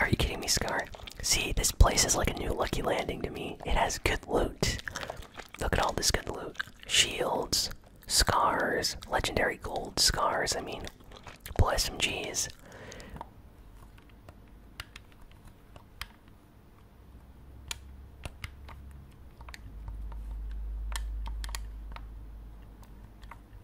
Are you kidding me, Scar? See, this place is like a new lucky landing to me. It has good loot. Look at all this good loot shields, scars, legendary gold scars. I mean, bless SMGs.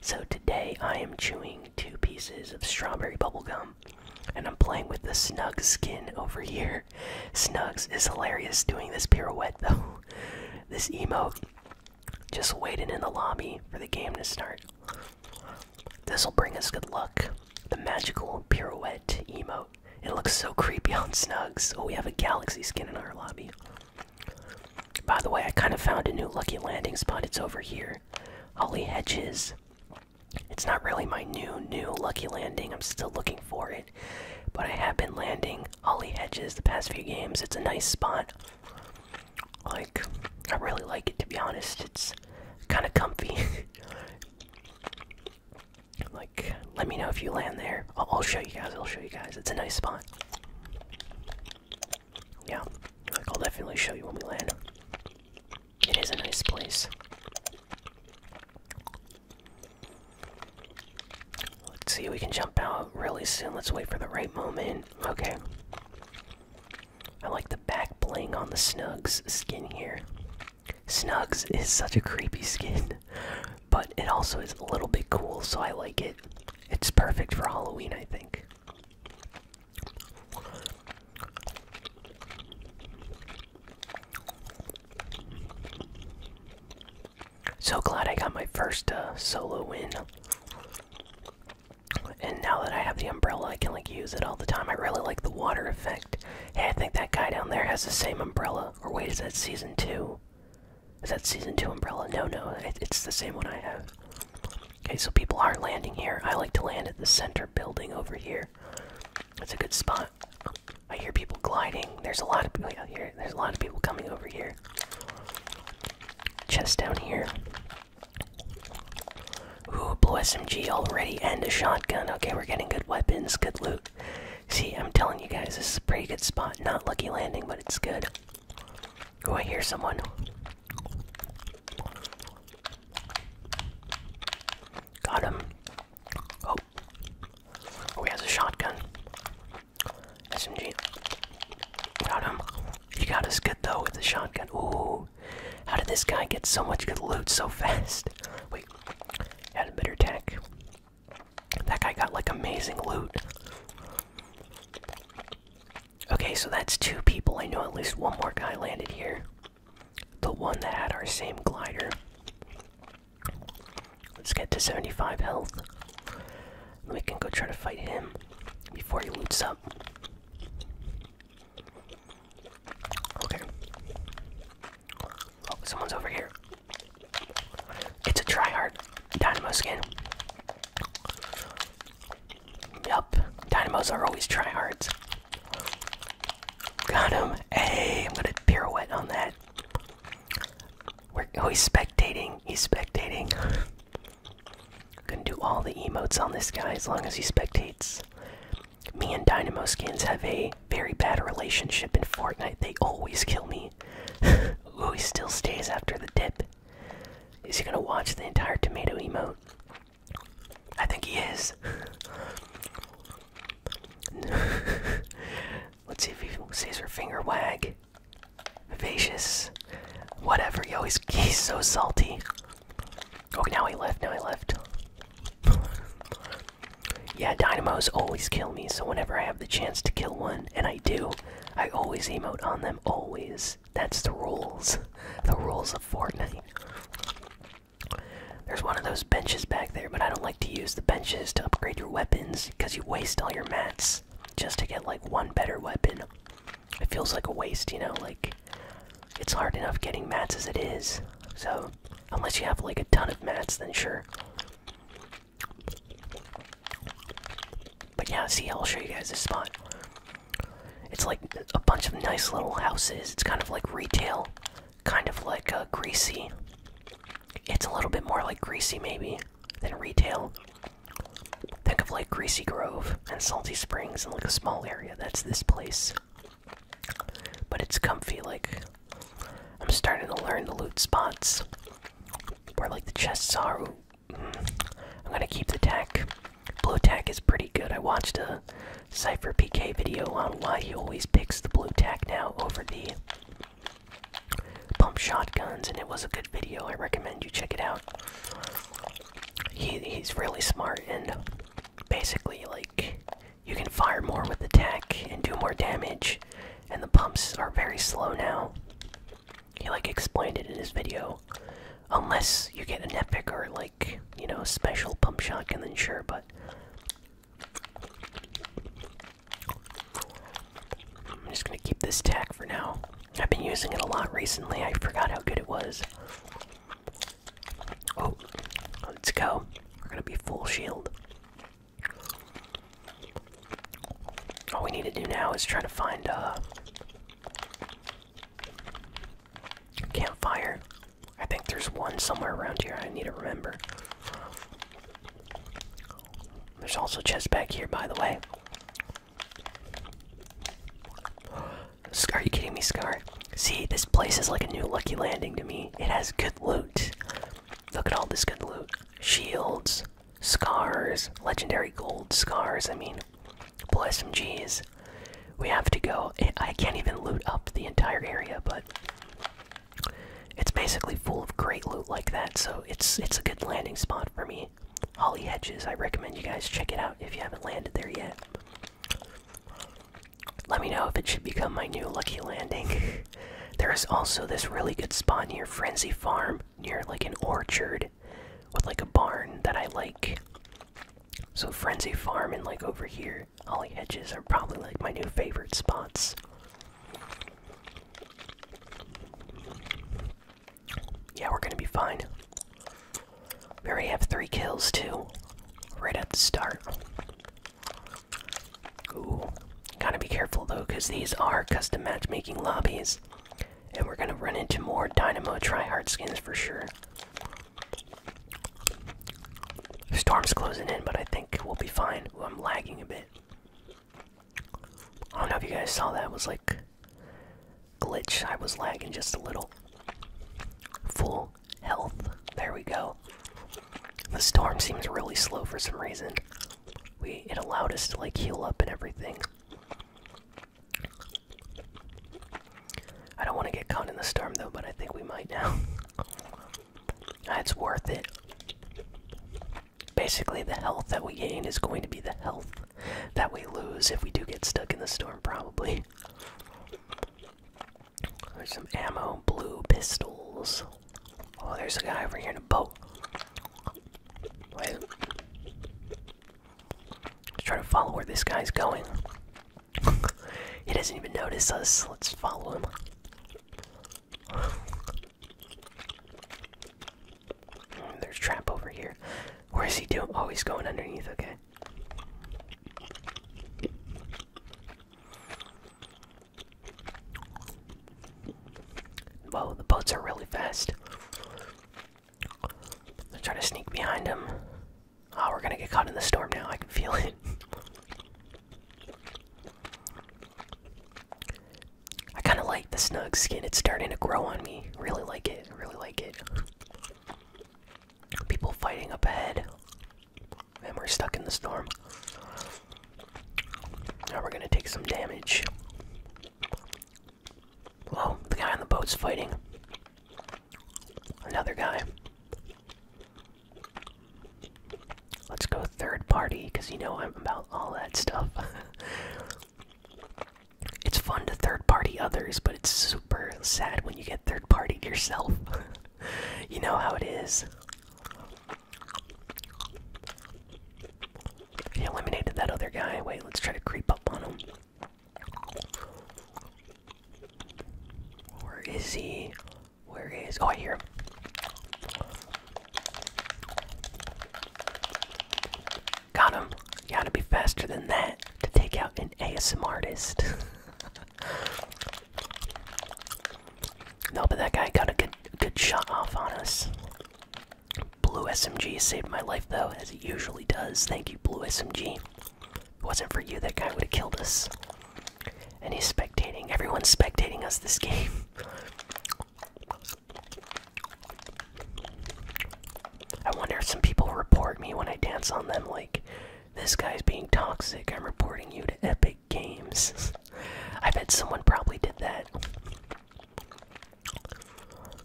So today I am chewing two pieces of strawberry bubblegum and I'm playing with the Snugs skin over here. Snugs is hilarious doing this pirouette though. This emo Just waiting in the lobby for the game to start. This'll bring us good luck. The magical pirouette emo. It looks so creepy on Snugs. Oh, we have a galaxy skin in our lobby. By the way, I kind of found a new lucky landing spot. It's over here. Holly Hedges. It's not really my new, new lucky landing. I'm still looking for it. But I have been landing Holly Hedges the past few games. It's a nice spot. Like, I really like it to be honest. It's kind of comfy. like, let me know if you land there. I'll, I'll show you guys. I'll show you guys. It's a nice spot. Yeah, like I'll definitely show you when we land. It is a nice place. Let's see, we can jump out really soon. Let's wait for the right moment. Okay. I like the back bling on the Snugs skin here. Snugs is such a creepy skin, but it also is a little bit cool, so I like it. It's perfect for Halloween, I think. So glad I got my first uh, solo win. And now that I have the umbrella, I can like use it all the time. I really like the water effect. Hey, I think that guy down there has the same umbrella. Or wait, is that season two? Is that season two umbrella? No, no, it's the same one I have. Okay, so people are landing here. I like to land at the center building over here. That's a good spot. I hear people gliding. There's a lot of people oh, here. There's a lot of people coming over here. Chest down here. Ooh, blue SMG already and a shotgun. Okay, we're getting good weapons, good loot. See, I'm telling you guys, this is a pretty good spot. Not lucky landing, but it's good. Go! I hear someone. Got him. Oh. oh he has a shotgun. SMG. Got him. He got us good though with the shotgun. Ooh. How did this guy get so much good loot so fast? Wait. Had a better tech. That guy got like amazing loot. Okay, so that's two people. I know at least one more guy landed here. The one that had our same glider. Let's get to 75 health. We can go try to fight him before he loots up. Okay. Oh, someone's over here. It's a tryhard Dynamo skin. Yup, Dynamos are always tryhards. Got him. Hey, I'm gonna pirouette on that. We're, always oh, spectating. He's spectating. Gonna do all the emotes on this guy as long as he spectates. Me and Dynamo skins have a very bad relationship in Fortnite. They always kill me. Ooh, he still stays after the dip. Is he gonna watch the entire tomato emote? I think he is. Let's see if he sees her finger wag. Vivacious. Whatever, yo, he's, he's so salty. Oh, now he left, now he left. yeah, dynamos always kill me, so whenever I have the chance to kill one, and I do, I always emote on them, always. That's the rules. The rules of Fortnite. There's one of those benches back there, but I don't like to use the benches to upgrade your weapons because you waste all your mats just to get like one better weapon. It feels like a waste, you know, like it's hard enough getting mats as it is. So, unless you have like a ton of mats, then sure. But yeah, see, I'll show you guys this spot. It's like a bunch of nice little houses. It's kind of like retail, kind of like uh, greasy. It's a little bit more like greasy, maybe, than retail. Think of like Greasy Grove and Salty Springs and like a small area. That's this place. But it's comfy, like, I'm starting to learn the loot spots. Where like the chests are. I'm gonna keep the tech. Blue tech is pretty good. I watched a Cypher PK video on why he always picks the blue tech now over the pump shotguns, and it was a good video. I recommend you check it out. he's really smart, and basically, like, you can fire more with the tech and do more damage, and the pumps are very slow now. He like explained it in his video. Unless you get an epic or like, you know, special pump shotgun, then sure, but I'm just gonna keep this tag for now. I've been using it a lot recently. I forgot how good it was. Oh, let's go. We're gonna be full shield. All we need to do now is try to find a uh, campfire. I think there's one somewhere around here. I need to remember. There's also chests back here, by the way. Scar, are you kidding me, Scar? See, this place is like a new Lucky Landing to me. It has good loot. Look at all this good loot. Shields, Scars, legendary gold scars, I mean. Blue SMGs. We have to go. I can't even loot up the entire area, but it's basically full of great loot like that, so it's it's a good landing spot for me. Holly Hedges, I recommend you guys check it out if you haven't landed there yet. Let me know if it should become my new lucky landing. there is also this really good spot near Frenzy Farm near like an orchard with like a barn that I like. So Frenzy Farm and like over here, Holly Hedges are probably like my new favorite spots. Yeah, we're gonna be fine. We already have three kills too, right at the start. Ooh, gotta be careful though, because these are custom matchmaking lobbies. And we're gonna run into more Dynamo Tryhard skins for sure. Storm's closing in, but I think we'll be fine. I'm lagging a bit. I don't know if you guys saw that. It was like glitch. I was lagging just a little. Full health. There we go. The storm seems really slow for some reason we it allowed us to like heal up and everything. I don't want to get caught in the storm though, but I think we might now. It's worth it. Basically, the health that we gain is going to be the health that we lose if we do get stuck in the storm, probably. There's some ammo, blue pistols. Oh, there's a guy over here in a boat. Wait. Let's try to follow where this guy's going. he doesn't even notice us. Let's follow him. There's trap over here. Where is he doing? Oh, he's going underneath. Okay. Whoa, the boats are really fast. I'm trying to sneak behind him. Oh, we're gonna get caught in the storm now. I can feel it. I kind of like the snug skin. It's starting to grow on me. Really like it. Really like it. People fighting up ahead. And we're stuck in the storm. Now we're gonna take some damage. Whoa, the guy on the boat's fighting. Another guy. Let's go third party, because you know I'm about all that stuff. it's fun to third party others, but it's super sad when you get third partied yourself. you know how it is. He eliminated that other guy. Wait, let's try to creep up on him. Where is he? Where is. Oh, I hear Got him. You gotta be faster than that to take out an ASM artist. no, but that guy got a good good shot off on us. Blue SMG saved my life though, as it usually does. Thank you, Blue SMG. it wasn't for you, that guy would have killed us. And he's spectating. Everyone's spectating us this game. I wonder if some people report me when I dance on them, like, this guy's being toxic, I'm reporting you to Epic Games. I bet someone probably did that.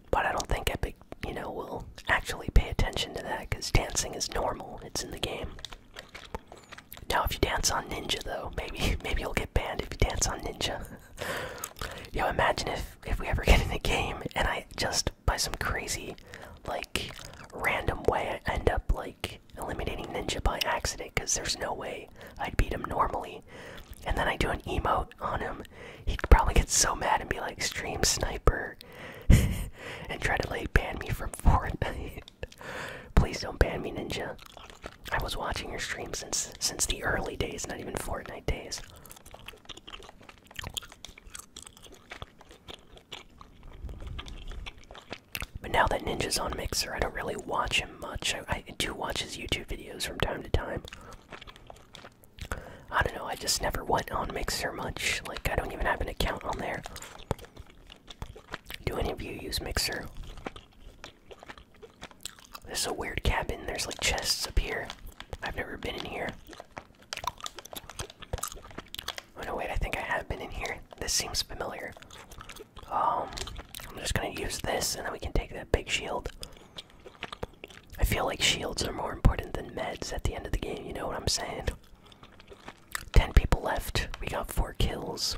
But I don't think Epic, you know, will actually pay attention to that because dancing is normal. It's in the game. Now, if you dance on Ninja, though, maybe maybe you'll get banned if you dance on Ninja. Yo, imagine if if we ever get in a game and I just by some crazy, like, random way I end up like eliminating Ninja by accident because there's no way I'd beat him normally and then I do an emote on him. He'd probably get so mad and be like, "Stream sniper," and try to like ban me from Fortnite. Please don't ban me, Ninja. I was watching your stream since since the early days, not even Fortnite days. But now that Ninja's on Mixer, I don't really watch him much. I do watch his YouTube videos from time to time. I don't know, I just never went on Mixer much. Like, I don't even have an account on there. Do any of you use Mixer? This is a weird cabin. There's like chests up here. I've never been in here. Oh no, wait, I think I have been in here. This seems familiar. Um, I'm just gonna use this and then we can take that big shield. I feel like shields are more important than meds at the end of the game, you know what I'm saying? 10 people left. We got 4 kills.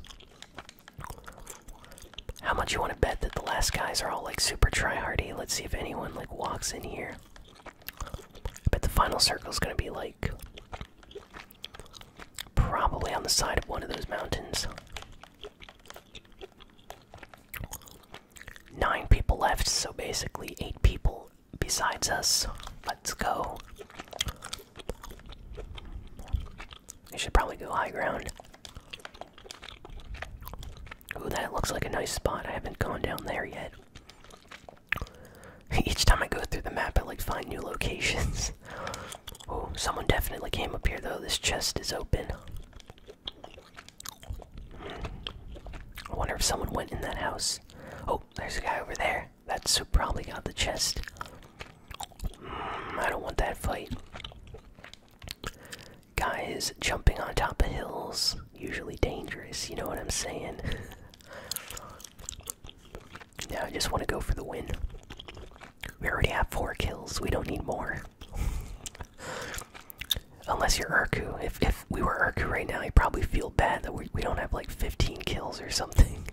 How much you want to bet that the last guys are all like super tryhardy? Let's see if anyone like walks in here. But the final circle is going to be like probably on the side of one of those mountains. Nine people left, so basically eight people besides us. Let's go. We should probably go high ground. Ooh, that looks like a nice spot. I haven't gone down there yet. Each time I go through the map, I like find new locations. oh, someone definitely came up here though. This chest is open. I wonder if someone went in that house. Oh, there's a guy over there. That's who probably got the chest. Mm, I don't want that fight. Guys jumping on top of hills, usually dangerous, you know what I'm saying? now I just want to go for the win. We already have four kills. We don't need more. Unless you're Urku. If if we were Urku right now, you'd probably feel bad that we we don't have like 15 kills or something.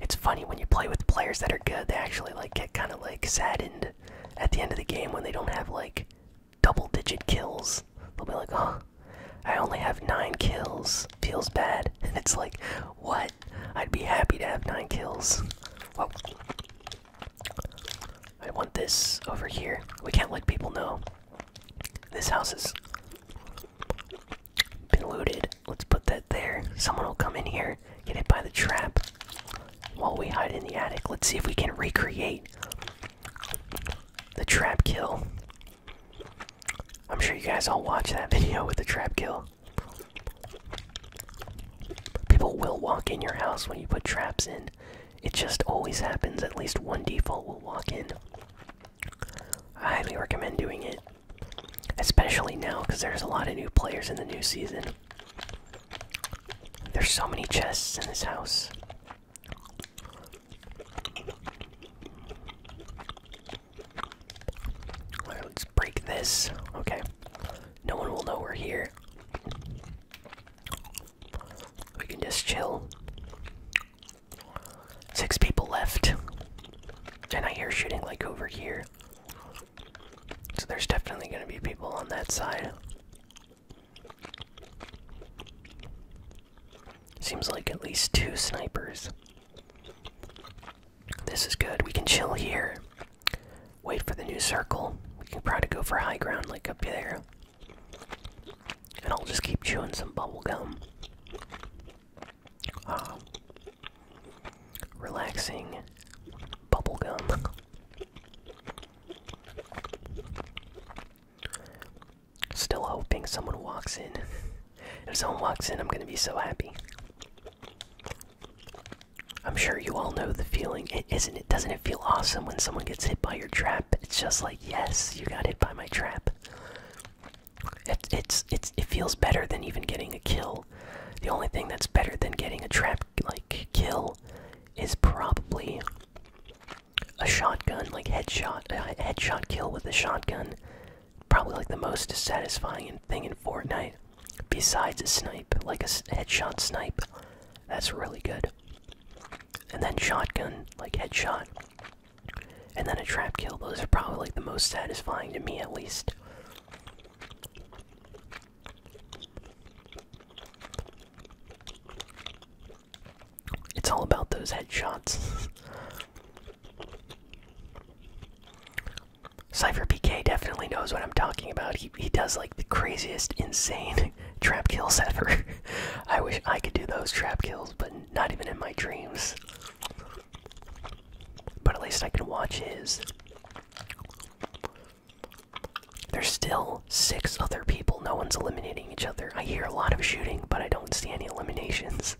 It's funny when you play with players that are good, they actually like get kind of like saddened at the end of the game when they don't have like double digit kills. They'll be like, "Oh, I only have nine kills. Feels bad. And it's like, what? I'd be happy to have nine kills. Well, I want this over here. We can't let people know. This house has been looted. Let's put that there. Someone will come in here, get hit by the trap. While we hide in the attic, let's see if we can recreate the trap kill. I'm sure you guys all watch that video with the trap kill. People will walk in your house when you put traps in. It just always happens, at least one default will walk in. I highly recommend doing it. Especially now, because there's a lot of new players in the new season. There's so many chests in this house let's break this. Okay. No one will know we're here. We can just chill. Six people left. And I hear shooting like over here. So there's definitely gonna be people on that side. Seems like at least two snipers. This is good. We can chill here. Wait for the new circle. We can probably go for high ground like up there. And I'll just keep chewing some bubble gum. Ah. relaxing bubble gum. Still hoping someone walks in. if someone walks in, I'm gonna be so happy. I'm sure you all know the feeling, it, isn't it? Doesn't it feel awesome when someone gets hit by your trap? It's just like, yes, you got hit by my trap. It, it's it's it feels better than even getting a kill. The only thing that's better than getting a trap like kill is probably a shotgun, like headshot, a headshot kill with a shotgun probably like the most satisfying thing in Fortnite, besides a snipe, like a headshot snipe. That's really good. And then shotgun, like headshot. And then a trap kill. Those are probably like the most satisfying to me, at least. It's all about those headshots. Cypher PK definitely knows what I'm talking about. He, he does like the craziest, insane trap kills ever. I wish I could do those trap kills, but not even in my dreams. But at least I can watch his. There's still six other people. No one's eliminating each other. I hear a lot of shooting, but I don't see any eliminations.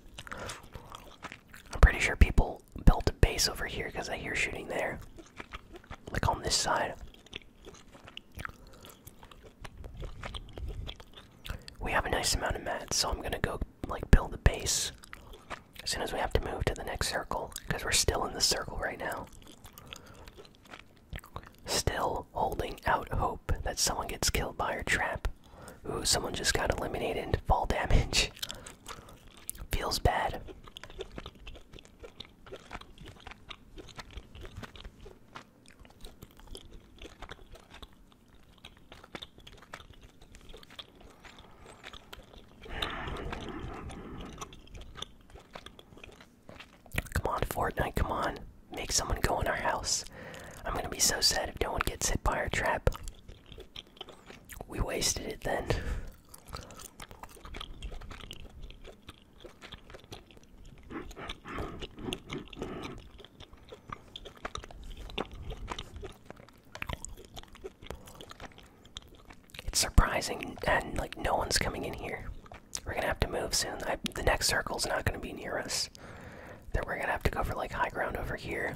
I'm pretty sure people built a base over here because I hear shooting there. Like on this side. We have a nice amount of mats, so I'm gonna go like build a base as soon as we have to move to the next circle because we're still in the circle right now. Still holding out hope that someone gets killed by our trap. Ooh, someone just got eliminated. Fall damage. Feels bad. Come on, Fortnite, come on. Make someone go in our house. I'm gonna be so sad if no one gets hit by our trap. We wasted it then. It's surprising, and like no one's coming in here. We're gonna have to move soon. the next circle's not gonna be near us this, then we're gonna have to go for like high ground over here.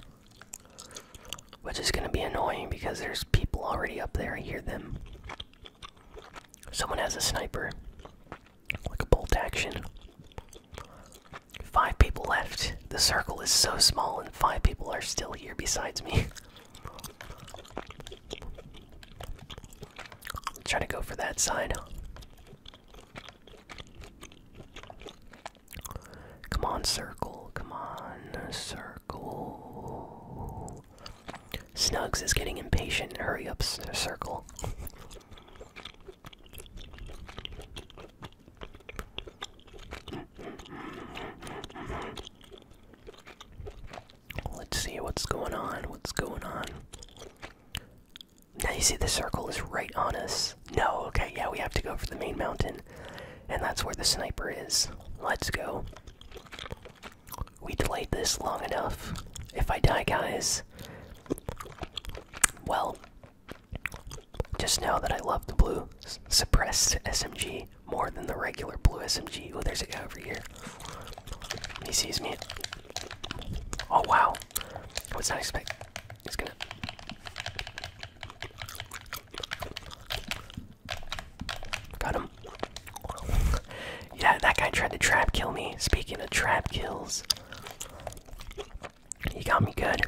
Which is gonna be annoying because there's people already up there. I hear them. Someone has a sniper. Like a bolt action. Five people left. The circle is so small, and five people are still here besides me. Trying to go for that side. Come on, circle. Come on, circle. Snugs is getting impatient. Hurry up, circle. Let's see what's going on. What's going on? Now you see the circle is right on us. No, okay, yeah, we have to go for the main mountain. And that's where the sniper is. Let's go. We delayed this long enough. If I die, guys, well, just know that I love the blue suppressed SMG more than the regular blue SMG. Oh, there's a guy over here. He sees me. Oh, wow. I was not expecting. Just gonna. Got him. yeah, that guy tried to trap kill me. Speaking of trap kills, he got me good.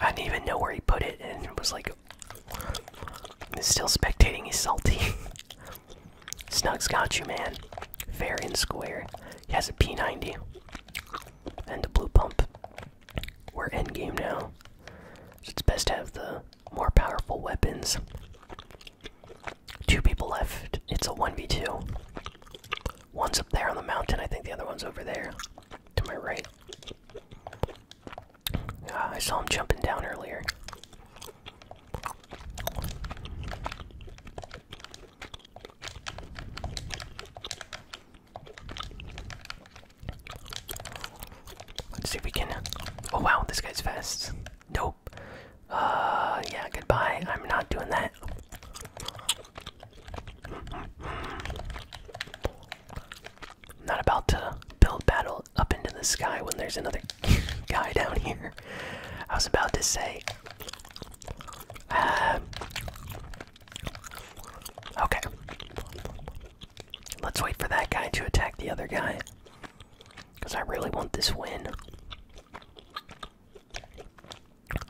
I didn't even know where he put it, and it was like. still spectating, he's salty. Snugs got you, man. Fair and square. He has a P90 and the blue pump. We're endgame now. So it's best to have the more powerful weapons. Two people left. It's a 1v2. One's up there on the mountain. I think the other one's over there. To my right. Ah, I saw him jumping down earlier. Let's see if we can. Oh wow, this guy's fast. Nope. Uh, yeah, goodbye. I'm not doing that. I'm not about to build battle up into the sky when there's another guy down here. I was about to say, uh, Okay. Let's wait for that guy to attack the other guy. Because I really want this win.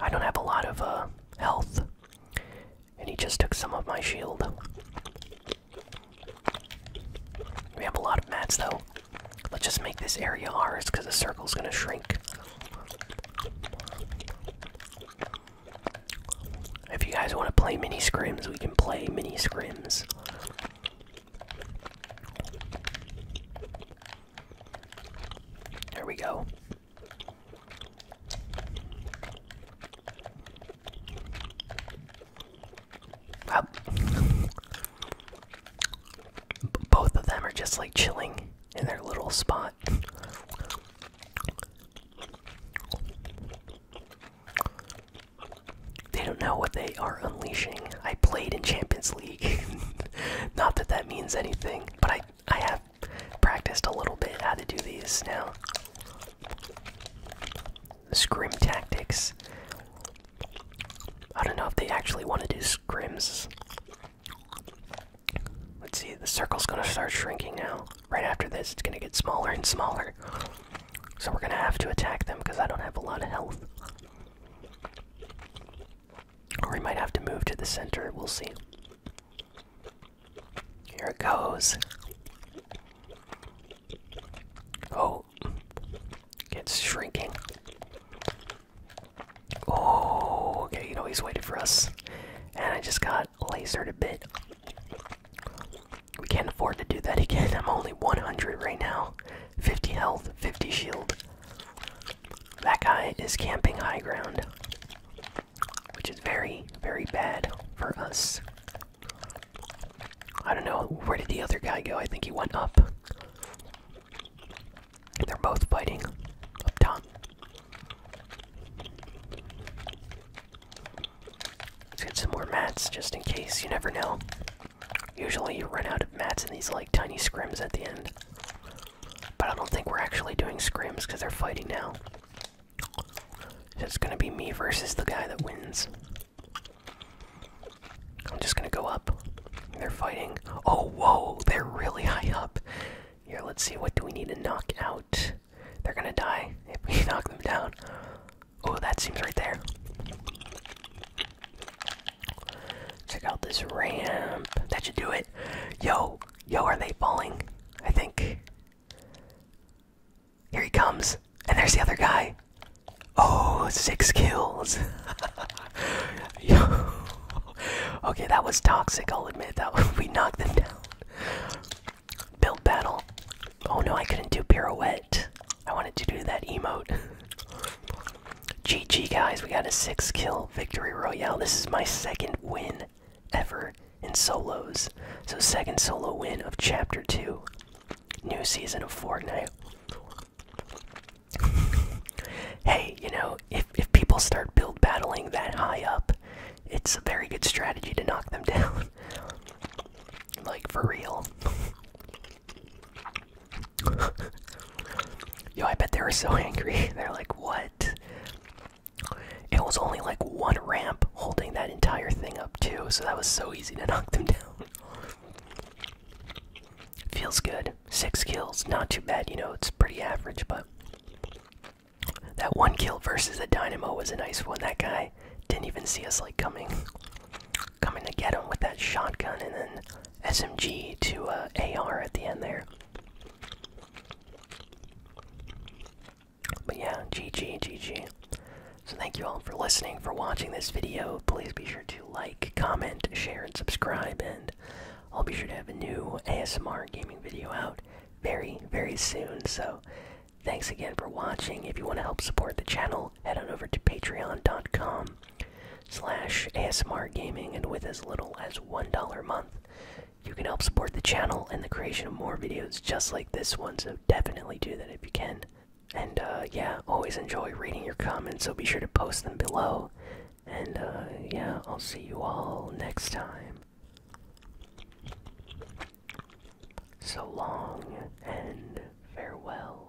I don't have a lot of uh, health. And he just took some of my shield. We have a lot of mats though. Let's just make this area ours because the circle's gonna shrink. If you guys want to play mini scrims, we can play mini scrims. There we go. Both of them are just like chilling in their little spot. They don't know what they are unleashing. I played in Champions League. Not that that means anything, but I I have practiced a little bit how to do these now. Scrim tactics. I don't know if they actually want to do scrims. Let's see, the circle's gonna start shrinking now. Right after this, it's gonna get smaller and smaller. So we're gonna have to attack them because I don't have a lot of health. Or we might have to move to the center, we'll see. Here it goes. Oh, it's shrinking. Oh, okay, you know, he's waiting for us. And I just got lasered a bit. We can't afford to do that again. I'm only 100 right now. 50 health, 50 shield. That guy is camping high ground. Which is very, very bad for us. I don't know, where did the other guy go? I think he went up. They're both fighting up top. Let's get some more mats just in case, you never know. Usually you run out of mats in these like tiny scrims at the end. But I don't think we're actually doing scrims because they're fighting now. it's gonna be me versus the guy that wins. I'm just gonna go up. They're fighting. Oh, whoa! They're really high up. Here, let's see. What do we need to knock out? They're gonna die if we knock them down. Oh, that seems right there. Check out this ramp. That should do it. Yo, yo, are they falling? I think. Here he comes. And there's the other guy. Oh, six kills. yo. okay, that was toxic. I'll admit that we knocked them down. Build battle. Oh no, I couldn't do pirouette. I wanted to do that emote. GG guys, we got a six kill victory royale. This is my second win ever in solos. So second solo win of chapter two. New season of Fortnite. hey, you know, if if, people start build battling that high up, it's a very good strategy to knock them down. like, for real. Yo, I bet they were so angry. They're like, what? It was only like one ramp holding that entire thing up, too, so that was so easy to knock them down. Feels good. Six kills, not too bad, you know, it's pretty average, but that one kill versus the Dynamo was a nice one. That guy didn't even see us like coming, coming to get him with that shotgun and then SMG to uh, AR at the end there. But yeah, GG, GG. So thank you all for listening, for watching this video. Please be sure to like, comment, share, and subscribe. And I'll be sure to have a new ASMR gaming video out very, very soon. So, thanks again for watching. If you want to help support the channel, head on over to patreon.com slash ASMR gaming, and with as little as $1 a month, you can help support the channel and the creation of more videos just like this one. So, definitely do that if you can. And uh, yeah, always enjoy reading your comments, so be sure to post them below. And uh, yeah, I'll see you all next time. So long and farewell.